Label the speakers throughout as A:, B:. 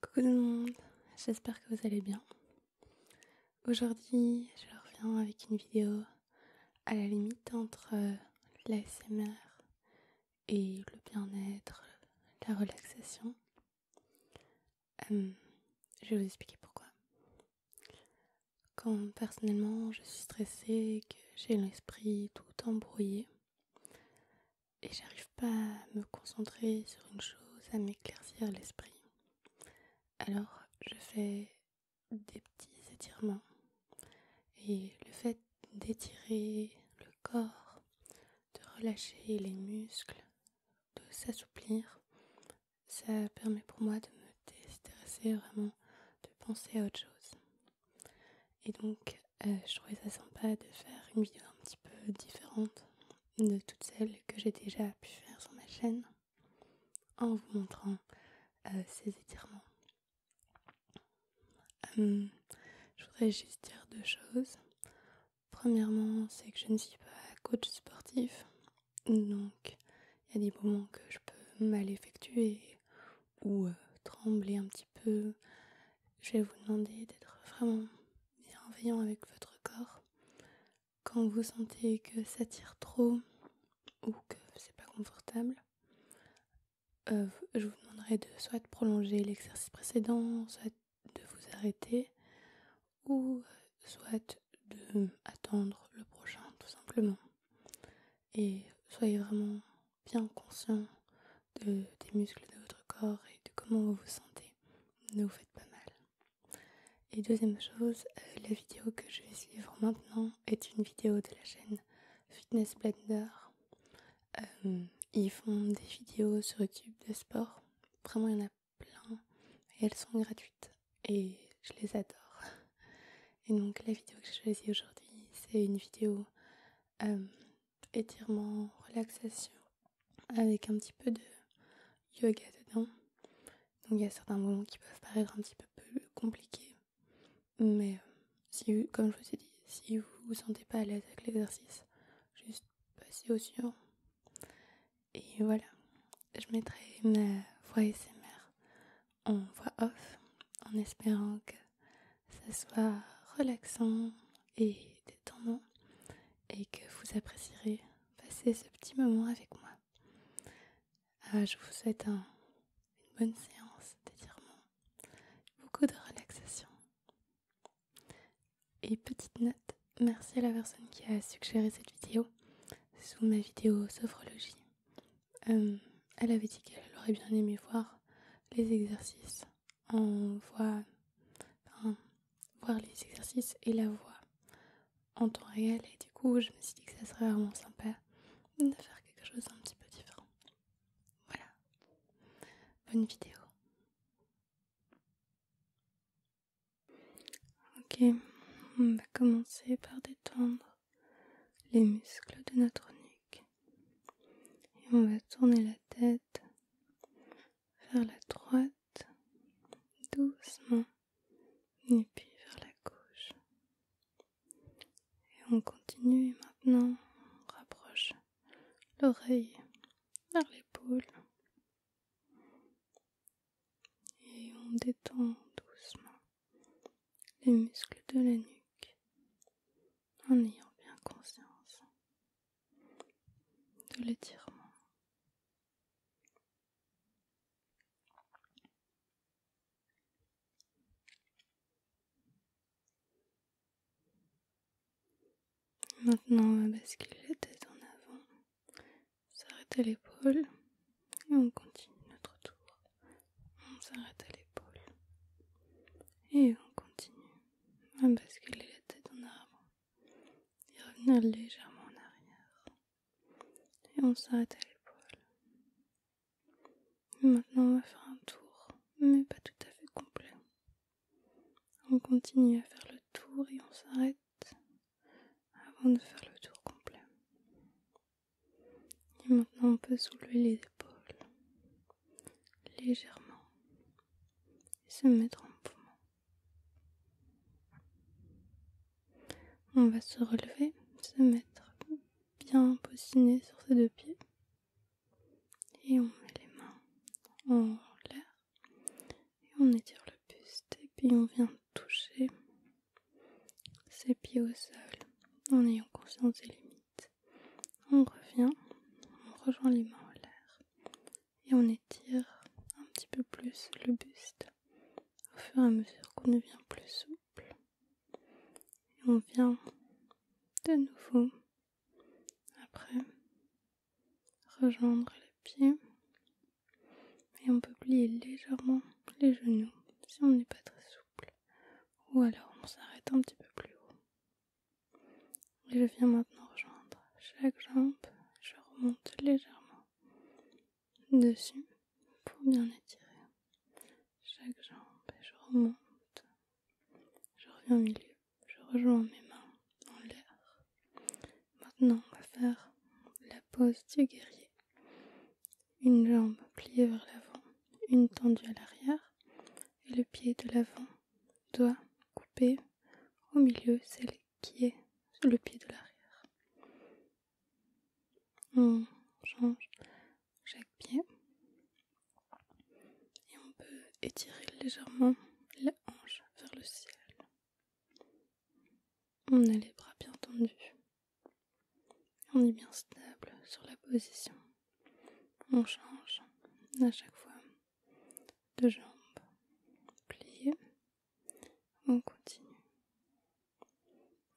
A: Coucou tout le monde, j'espère que vous allez bien. Aujourd'hui, je reviens avec une vidéo à la limite entre euh, l'ASMR et le bien-être, la relaxation. je vais vous expliquer pourquoi. Quand personnellement je suis stressée, que j'ai l'esprit tout embrouillé, et j'arrive pas à me concentrer sur une chose, à m'éclaircir l'esprit. Alors je fais des petits étirements. Et le fait d'étirer le corps, de relâcher les muscles, de s'assouplir, ça permet pour moi de me déstresser vraiment, de penser à autre chose. Et donc, euh, je trouvais ça sympa de faire une vidéo un petit peu différente de toutes celles que j'ai déjà pu faire sur ma chaîne en vous montrant euh, ces étirements. Hum, je voudrais juste dire deux choses. Premièrement, c'est que je ne suis pas coach sportif, donc il y a des moments que je peux mal effectuer ou euh, trembler un petit peu, je vais vous demander d'être vraiment bienveillant avec votre corps. Quand vous sentez que ça tire trop ou que c'est pas confortable, euh, je vous demanderai de soit prolonger l'exercice précédent, soit de vous arrêter, ou euh, soit de attendre le prochain tout simplement. Et soyez vraiment bien conscient de, des muscles de votre corps et de comment vous vous sentez. Ne vous faites pas mal. Et deuxième chose, euh, la vidéo que je vais suivre maintenant est une vidéo de la chaîne Fitness Blender. Euh, ils font des vidéos sur YouTube de sport. Vraiment, il y en a plein. Et elles sont gratuites. Et je les adore. Et donc, la vidéo que j'ai choisie aujourd'hui, c'est une vidéo euh, étirement, relaxation, avec un petit peu de yoga dedans. Donc il y a certains moments qui peuvent paraître un petit peu plus compliqués. Mais euh, si, comme je vous ai dit, si vous vous sentez pas à l'aise avec l'exercice, juste passez au suivant. Et voilà, je mettrai ma voix SMR en voix off en espérant que ce soit relaxant et détendant et que vous apprécierez passer ce petit moment avec moi. Ah, je vous souhaite une bonne séance d'étirement, beaucoup de relaxation. Et petite note, merci à la personne qui a suggéré cette vidéo sous ma vidéo sophrologie. Euh, elle avait dit qu'elle aurait bien aimé voir les exercices en voix, voir les exercices et la voix en temps réel. Et du coup, je me suis dit que ça serait vraiment sympa de faire quelque chose un petit peu différent. Voilà. Bonne vidéo. Ok, on va commencer par détendre les muscles de notre nuque et on va tourner la tête vers la droite doucement et puis vers la gauche. Et on continue maintenant, on rapproche l'oreille vers l'épaule et on détend doucement les muscles de la nuque en ayant bien conscience de l'étirement. Maintenant, on va basculer les tête en avant, s'arrêter l'épaule et on continue notre tour on s'arrête à l'épaule et on continue à basculer la tête en avant et revenir légèrement en arrière et on s'arrête à l'épaule. Maintenant on va faire un tour mais pas tout à fait complet. On continue à faire le tour et on s'arrête avant de faire le tour complet. Et maintenant, on peut soulever les épaules légèrement et se mettre en mouvement. On va se relever, se mettre bien poussiné sur ses deux pieds et on met les mains en l'air et on étire le buste et puis on vient toucher ses pieds au sol en ayant conscience des limites. On revient, on rejoint les mains en l'air et on étire un petit peu plus le buste au fur et à mesure qu'on devient plus souple. Et on vient de nouveau après rejoindre les pieds et on peut plier légèrement les genoux si on n'est pas très souple ou alors on s'arrête un petit peu plus haut. je viens maintenant rejoindre chaque jambe, je remonte légèrement dessus pour bien étirer chaque jambe et je remonte. Je reviens au milieu, je rejoins mes mains dans l'air. Maintenant, on va faire la pose du guerrier une jambe pliée vers l'avant, une tendue à l'arrière, et le pied de l'avant doit couper au milieu celle qui est le pied de l'arrière. On change chaque pied et on peut étirer légèrement la hanche vers le ciel. On a les bras bien tendus. On est bien stable sur la position. On change à chaque fois de jambe. Plié. On continue.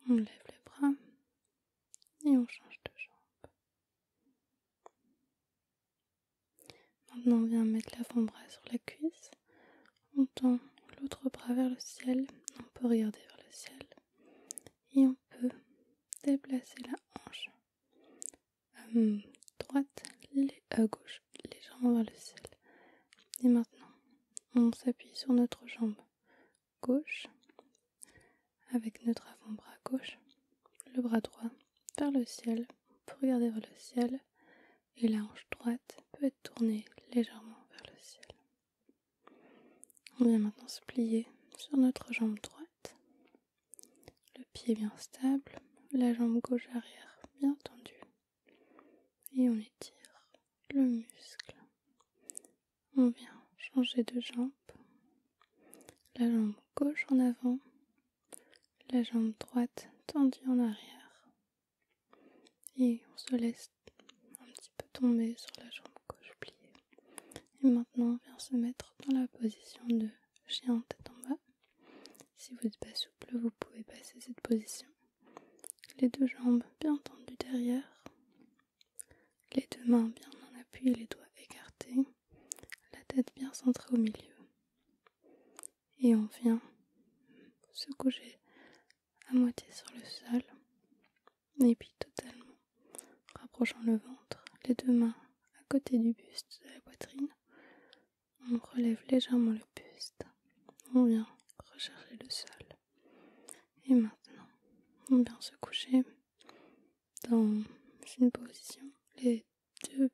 A: On lève les bras et on change de jambe. Maintenant, on vient mettre l'avant-bras sur la cuisse. On tend l'autre bras vers le ciel. On peut regarder vers le ciel. Et on peut déplacer la hanche hum, droite, à gauche, légèrement vers le ciel. Et maintenant, on s'appuie sur notre jambe gauche avec notre avant-bras gauche, le bras droit vers le ciel pour regarder vers le ciel et la hanche droite peut être tournée légèrement vers le ciel. On vient maintenant se plier sur notre jambe droite. Le pied bien stable, la jambe gauche arrière bien tendue. Et on étire le muscle. On vient changer de jambe. La jambe gauche en avant, la jambe droite tendue en arrière. Et on se laisse un petit peu tombé sur la jambe gauche pliée. Et maintenant, on vient se mettre dans la position de chien tête en bas. Si vous n'êtes pas souple, vous pouvez passer cette position. Les deux jambes bien tendues derrière, les deux mains bien en appui, les doigts écartés, la tête bien centrée au milieu. Et on vient se coucher à moitié sur le sol et puis totalement, rapprochant le ventre, les deux mains à côté du buste de la poitrine. On relève légèrement le buste. On vient rechercher le sol. Et maintenant, on vient se coucher dans une position. Les deux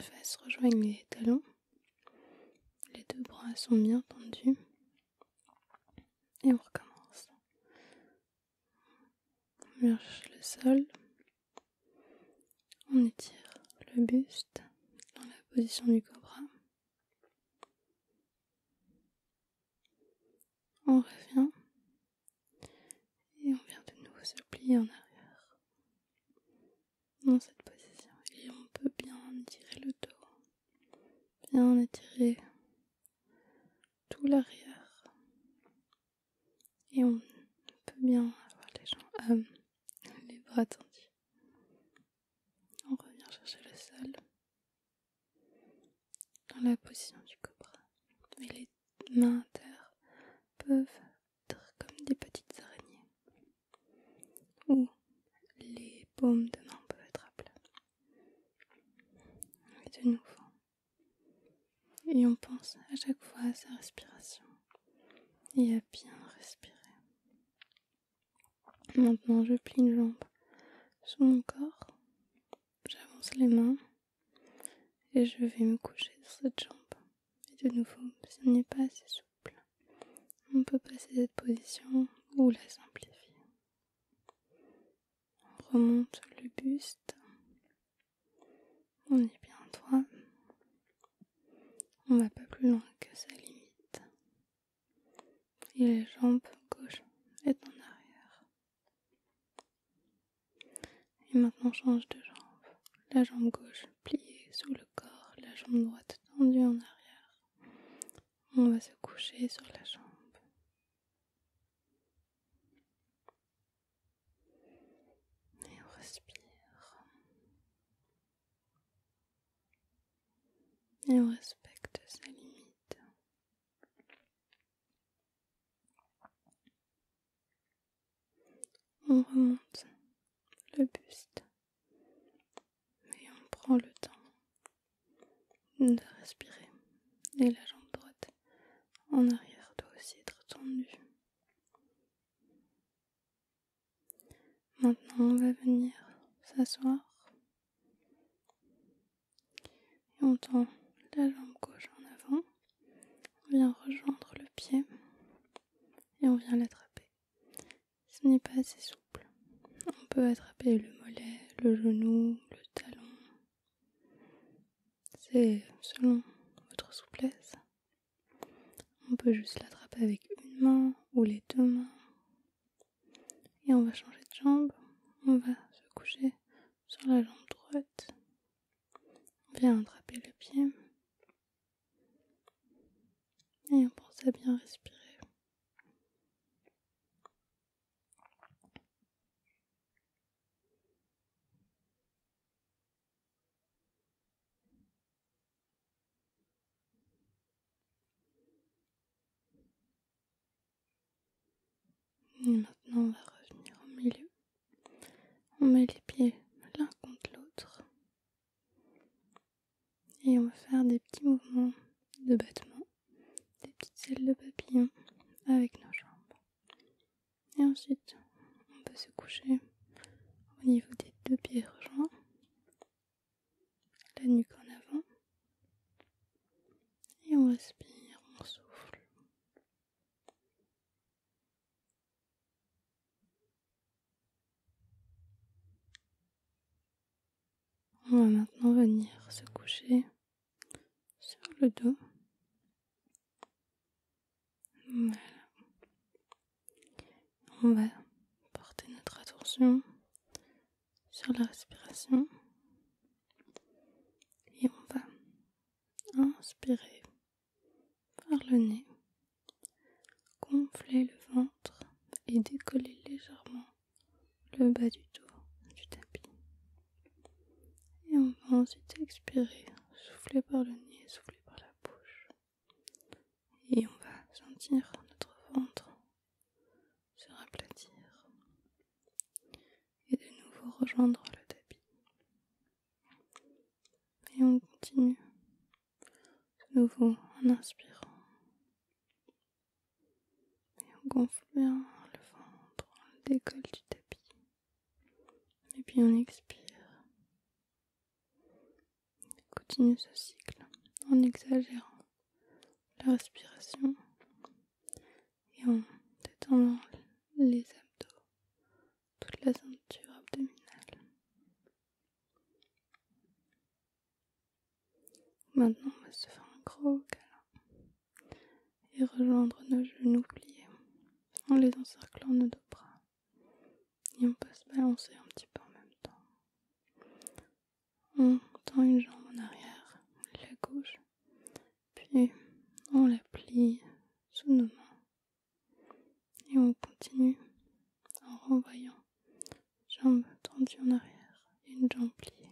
A: fesses rejoignent les talons. Les deux bras sont bien tendus. Et on recommence. On marche le sol. On étire le buste dans la position du cobra. On revient. Et on vient de nouveau se plier en arrière. Dans cette position. Et on peut bien étirer le dos. Bien étirer tout l'arrière. Et on peut bien avoir les jambes, euh, les bras tendus. On revient chercher le sol dans la position du cobra. Mais les mains inter peuvent être comme des petites araignées. Ou les paumes de main peuvent être à plat. Et de nouveau. Et on pense à chaque fois à sa respiration et à bien respirer. Maintenant, je plie une jambe sous mon corps, j'avance les mains et je vais me coucher sur cette jambe. Et de nouveau, ce n'est pas assez souple, on peut passer cette position ou la simplifier. On remonte le buste. On est bien droit. On va pas plus loin que sa limite. Et les jambes gauche est en arrière. Et maintenant change de jambe. La jambe gauche pliée sous le corps, la jambe droite tendue en arrière. On va se coucher sur la jambe. Et on respire. Et on respecte sa limite. On remonte le buste mais on prend le temps de respirer. Et la jambe droite en arrière doit aussi être tendue. Maintenant, on va venir s'asseoir et on tend la jambe gauche en avant. On vient rejoindre le pied et on vient l'attraper. Ce n'est pas assez souple. On peut attraper le mollet, le genou, le talon. C'est selon votre souplesse. On peut juste l'attraper avec une main ou les deux mains. Et on va changer de jambe. On va se coucher sur la jambe droite. On vient attraper le pied. Et on pense à bien respirer maintenant, on va revenir au milieu. On met les pieds l'un contre l'autre. Et on va faire des petits mouvements de battement des petites ailes de papillon avec nos jambes. Et ensuite, on peut se coucher au niveau des deux pieds rejoints, la nuque en avant, et on respire, on souffle. On va maintenant venir se coucher sur le dos. On va porter notre attention sur la respiration et on va inspirer par le nez, gonfler le ventre et décoller légèrement le bas du dos, du tapis. Et on va ensuite expirer, souffler par le nez, souffler par la bouche. Et on va sentir notre ventre se raplatir et de nouveau rejoindre le tapis. Et on continue de nouveau en inspirant et on gonfle bien le ventre, on le décolle du tapis. Et puis on expire. On continue ce cycle en exagérant la respiration et en détendant les abdos, toute la ceinture abdominale. Maintenant, on va se faire un gros câlin et rejoindre nos genoux pliés en les encerclant nos deux bras. Et on peut se balancer un petit peu en même temps. On tend une jambe en arrière, la gauche, puis on la plie sous nos mains. Et on continue en renvoyant Jambes tendues en arrière une jambe pliée.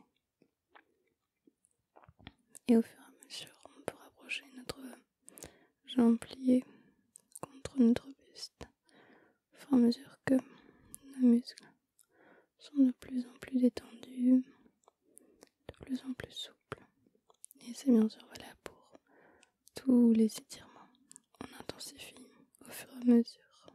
A: Et au fur et à mesure, on peut rapprocher notre jambe pliée contre notre buste au fur et à mesure que nos muscles sont de plus en plus détendus, de plus en plus souples. Et c'est bien sûr valable pour tous les étirements. On intensifie au fur et à mesure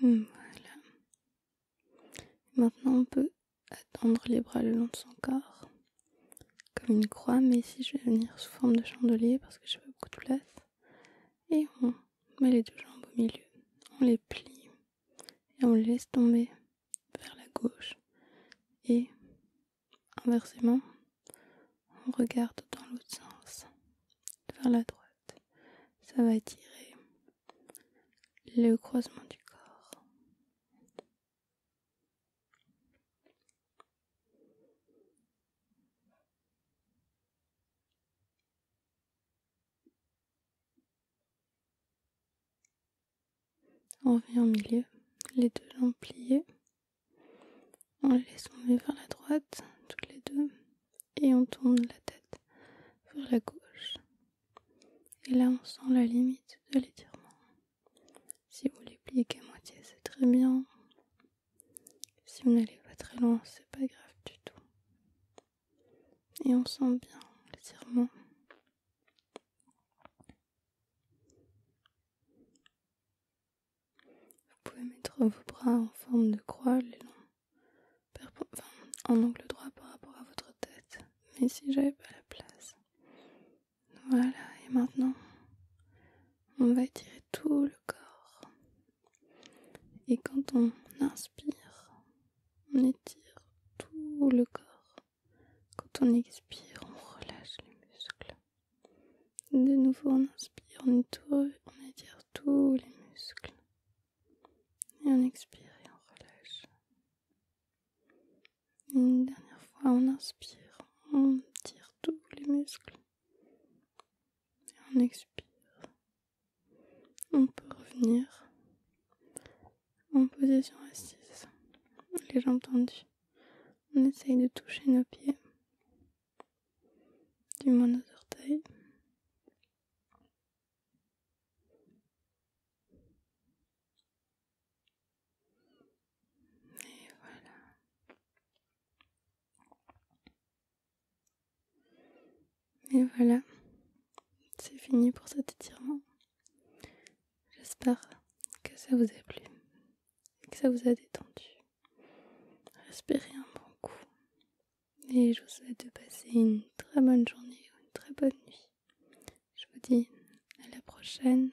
A: Hmm, voilà. Maintenant, on peut attendre les bras le long de son corps, comme une croix, mais ici je vais venir sous forme de chandelier parce que j'ai pas beaucoup de place. Et on met les deux jambes au milieu, on les plie, et on le laisse tomber vers la gauche. Et inversement, on regarde dans l'autre sens, vers la droite. Ça va attirer le croisement du corps. On revient au milieu, les deux jambes pliées. On les laisse vers la droite, toutes les deux, et on tourne la tête vers la gauche. Et là, on sent la limite de l'étirement. Si vous les pliez qu'à moitié, c'est très bien. Si vous n'allez pas très loin, c'est pas grave du tout et on sent bien l'étirement. Vous pouvez mettre vos bras en forme de croix les en angle droit par rapport à votre tête. Mais si j'avais pas la place. Voilà, et maintenant, on va étirer tout le corps. Et quand on inspire, on étire tout le corps. Quand on expire, on relâche les muscles. De nouveau, on inspire, on étire, tous les muscles. Et on expire et on relâche. Une dernière fois, on inspire, on tire tous les muscles. Et on expire on peut revenir en position assise, les jambes tendues. On essaye de toucher nos pieds, du moins nos orteils. Et voilà. Et voilà, c'est fini pour cet étirement. J'espère que ça vous a plu que ça vous a détendu. Respirez un bon coup et je vous souhaite de passer une très bonne journée ou une très bonne nuit. Je vous dis à la prochaine.